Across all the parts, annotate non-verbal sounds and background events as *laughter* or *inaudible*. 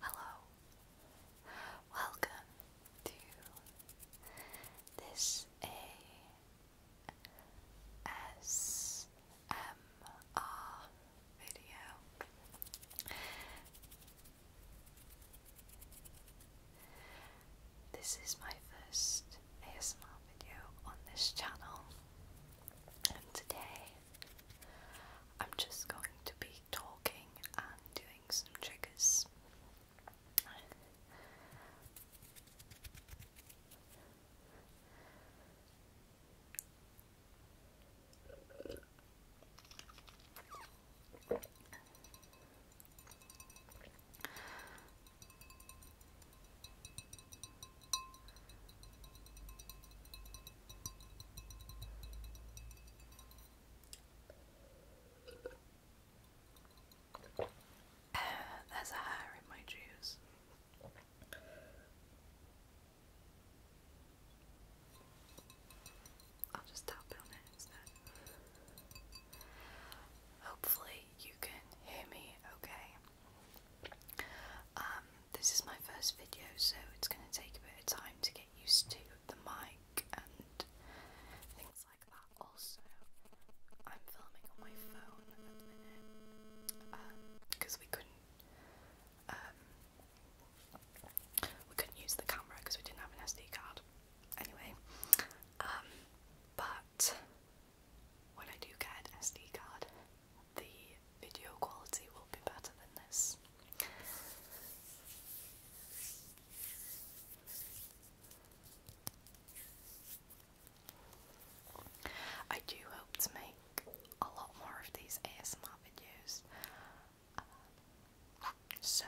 Hello, welcome to this ASMR video. This is my first ASMR video on this channel, and today I'm just going to be talking and doing some triggers. Uh, *sighs* there's a hair in my juice. I'll just tap on it Hopefully, you can hear me okay. Um, this is my first video, so it's going to take a bit of time to get used to the mic and things like that. Also, I'm filming on my phone at the minute because um, we couldn't um, we couldn't use the camera because we didn't have an SD card. Anyway, but when I do get an SD card, the video quality will be better than this. I do hope to make a lot more of these ASMR videos. so,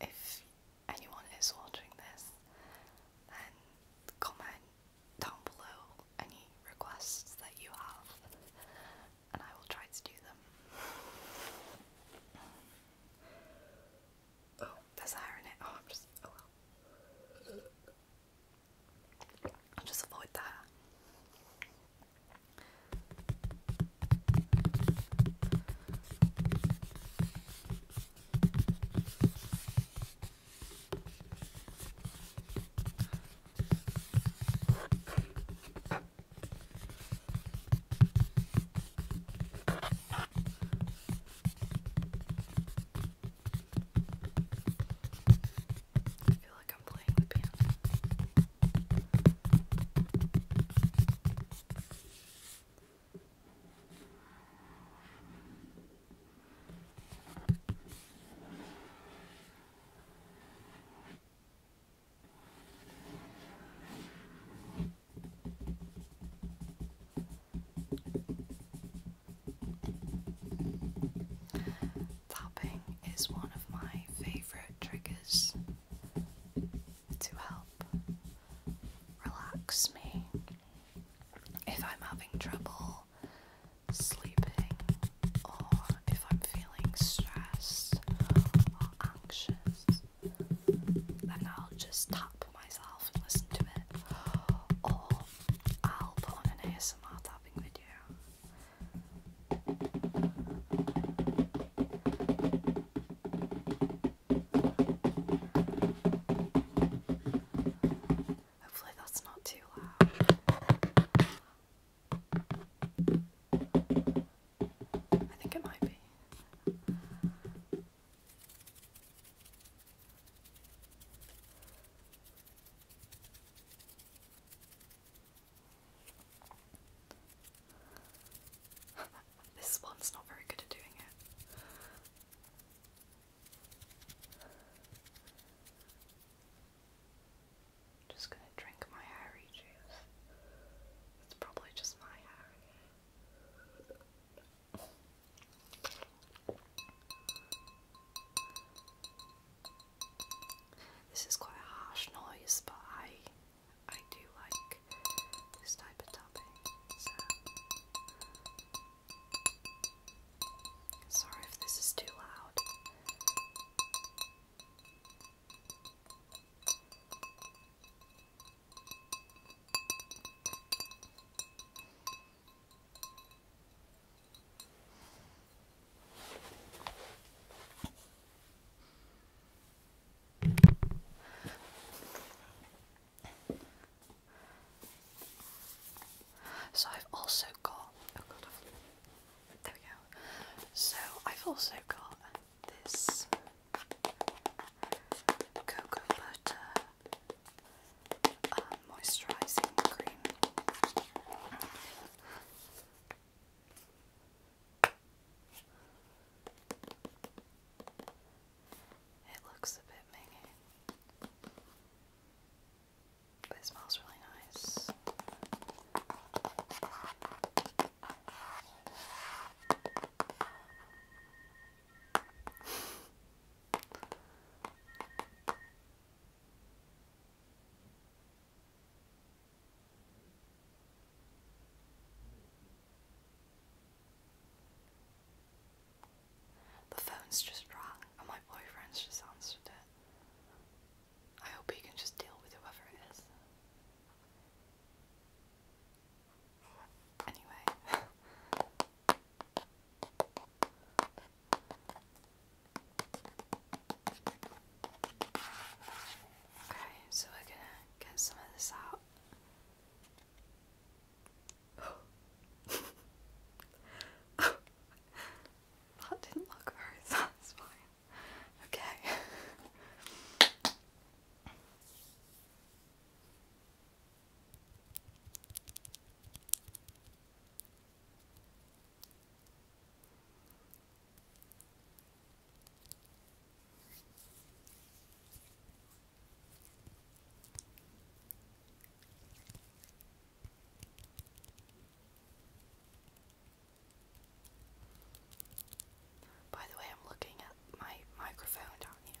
if anyone is watching this, then comment down below any requests that you have, and I will try to do them. Oh, there's hair in it. Oh, I'm just. Oh just avoid that. I feel like I'm playing the piano. Tapping is one of my favourite triggers to help relax me if I'm having trouble sleeping or if I'm feeling stressed or anxious. Then I'll just tap myself and listen to it, or I'll put on an ASMR tapping video. Hopefully, that's not too loud. I think it might be. *laughs* this one's not very good at doing it. just gonna drink my hairy juice. It's probably just my hair. This is quite a harsh noise, but I I do like this type of topping, sorry if this is too loud. So I've also got oh there we go. So I've also got this cocoa butter um, moisturising cream. It looks a bit mingy, but it smells really nice. The phone's just rang, and my boyfriend's just answered it. I hope he can just deal with whoever it is. Anyway. *laughs* Okay, so we're gonna get some of this out. *laughs* That didn't look very *laughs* satisfying. Okay. By the way, I'm looking at my microphone down here.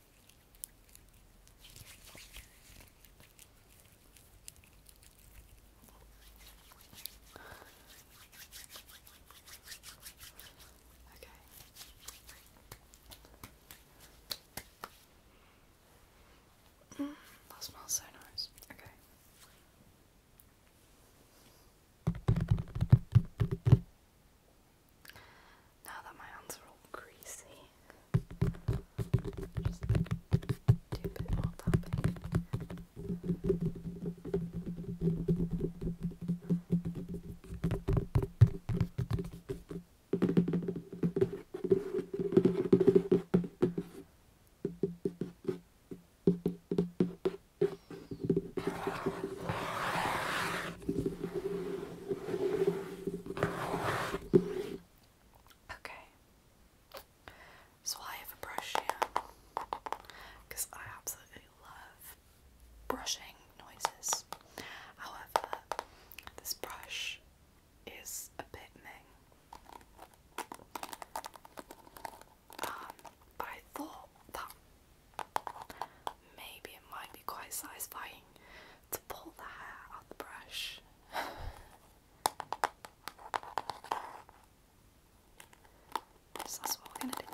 Mm, that smells so nice. Okay. Now that my hands are all greasy, just do a bit more tapping. Okay. So I have a brush here because I absolutely love brushing noises. However, this brush is a bit um, I thought that maybe it might be quite satisfying to pull the hair on the brush. so that's what we're going to do.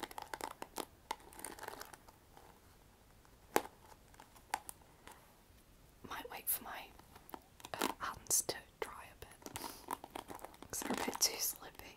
Might wait for my uh, hands to dry a bit they're a bit too slippy.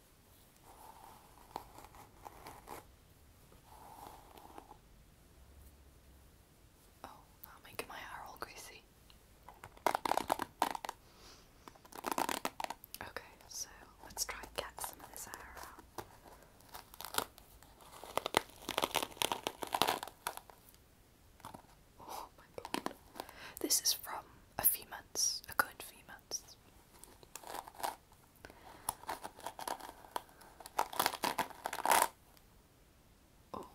Oh, I'm making my hair all greasy. Okay, so let's try and get some of this hair out. Oh my god. This is from a few months, a good few months. Oh.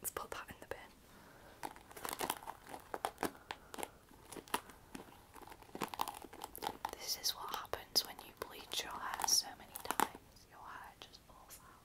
Let's put that in the bin. This is what happens when you bleach your hair so many times. Your hair just falls out.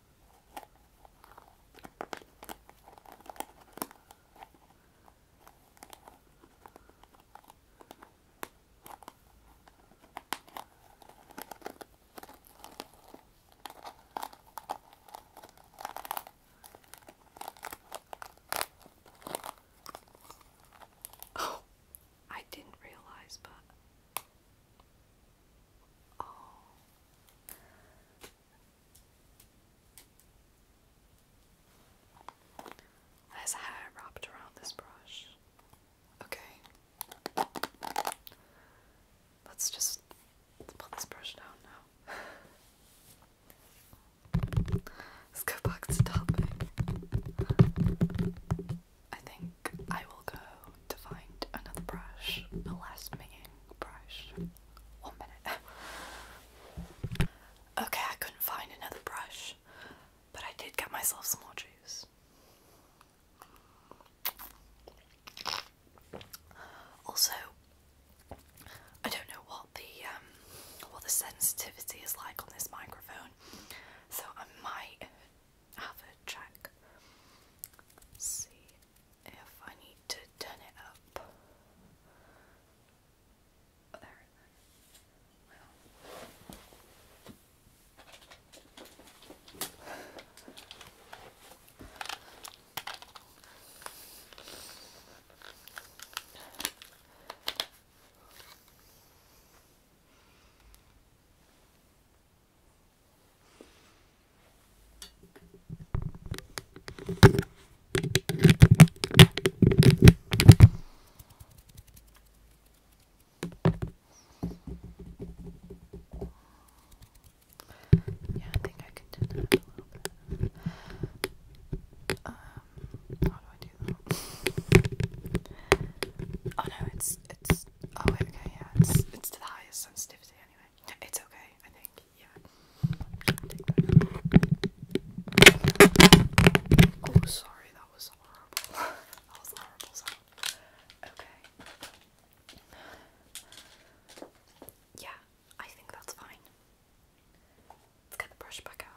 Oh, I didn't realize, but oh, there's hair wrapped around this brush. Okay. Let's just put this brush down now. *laughs* Let's go back to topic. I think I will go to find another brush, a last meeting brush. One minute. *laughs* okay, I couldn't find another brush, but I did get myself some more juice. Also, I don't know what the um, what the sensitivity is like on this microphone, so I might have a check. see, if I need to turn it up. Oh, there. Yeah, I think I can do that a little bit. Um, how do I do that? Oh no, it's it's oh okay, yeah, it's it's to the highest sensitivity anyway. It's okay, I think. Yeah. Oh, sorry, that was horrible. *laughs* that was horrible Okay. Yeah, I think that's fine. Let's get the brush back out.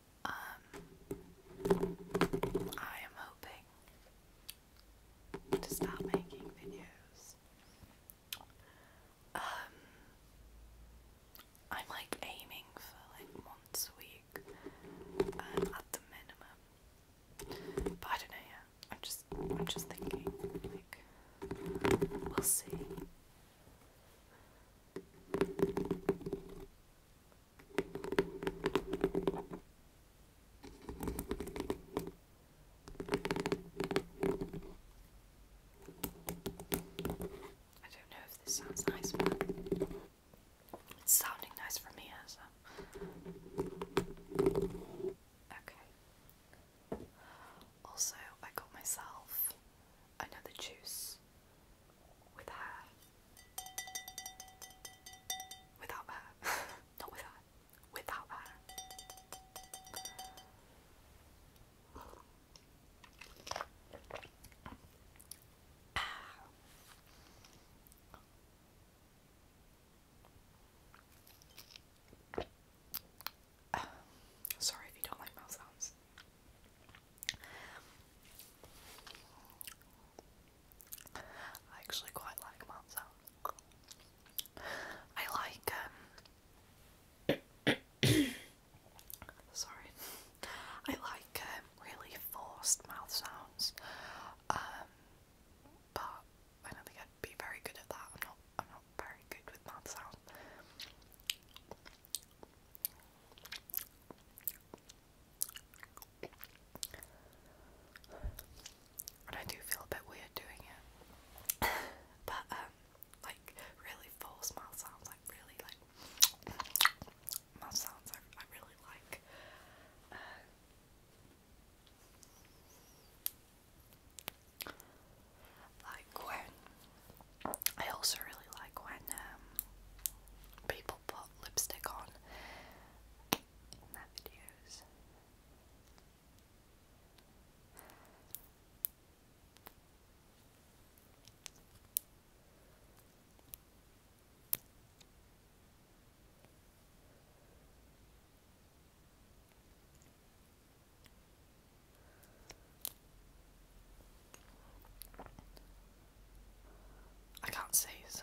Um, I am hoping to start making videos. Um, I'm like aiming for like once a week at the minimum, but I don't know. Yeah, I'm just I'm just thinking. Like, we'll see. I don't know if this sounds nice, but it's sounding nice for me as Okay. Also, I got myself another juice with her. Without her. *laughs* Not with her. Without her. Ah. *sighs* Sorry if you don't like mouth sounds. I actually quite like that I like um, *coughs* sorry. I like um, really forced mouth sounds. Um, but I don't think I'd be very good at that. I'm not I'm not very good with mouth sounds. I do feel a bit weird doing it. *coughs* but um like really full mouth sounds like really like mouth *coughs* sounds I, really like. Uh, like when I also really like when um, people put lipstick on I can't see, so.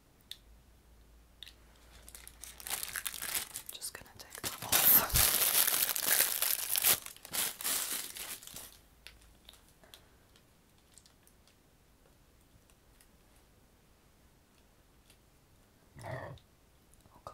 I'm just gonna take that off. oh god.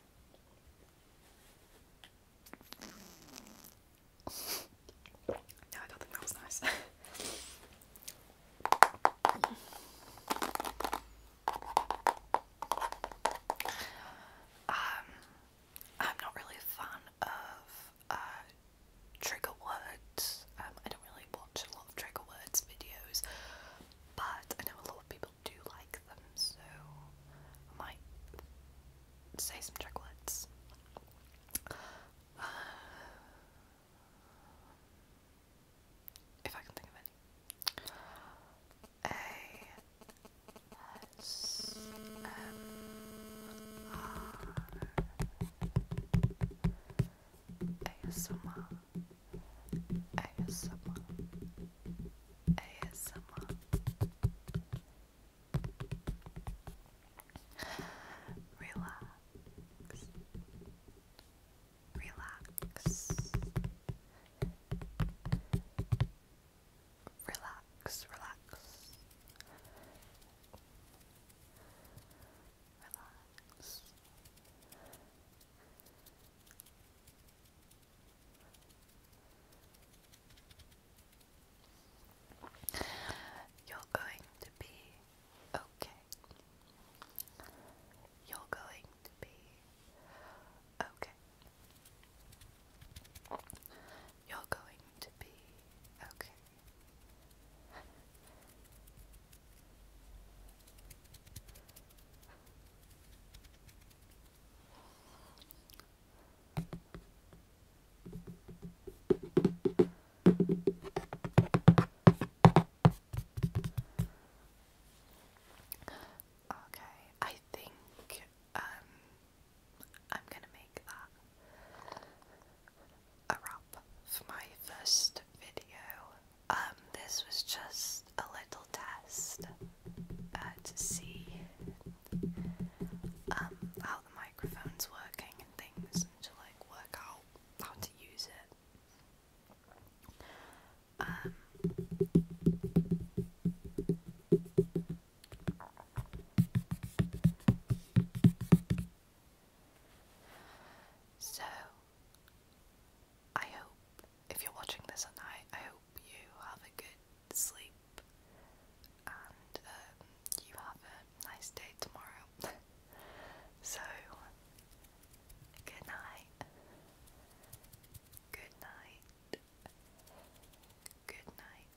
no, I don't think that was nice. *laughs* um, I'm not really a fan of uh, trigger words. Um, I don't really watch a lot of trigger words videos, but I know a lot of people do like them, so I might say some chocolates. Uh, if I can think of any. A S M R A S M R ASMR ASMR Relax Relax Relax, relax Relax you're going to be You're going to be okay. You're going to be okay. You're going to be okay. Okay, I think um, I'm gonna make that a wrap for my first video. Um, this was just a little test uh, to see um, how the microphone's working and things, to like work out how to use it. Um, so, I hope if you're watching this at night, I hope you have a good sleep and um, you have a nice day tomorrow. *laughs* so, good night. Good night. Good night.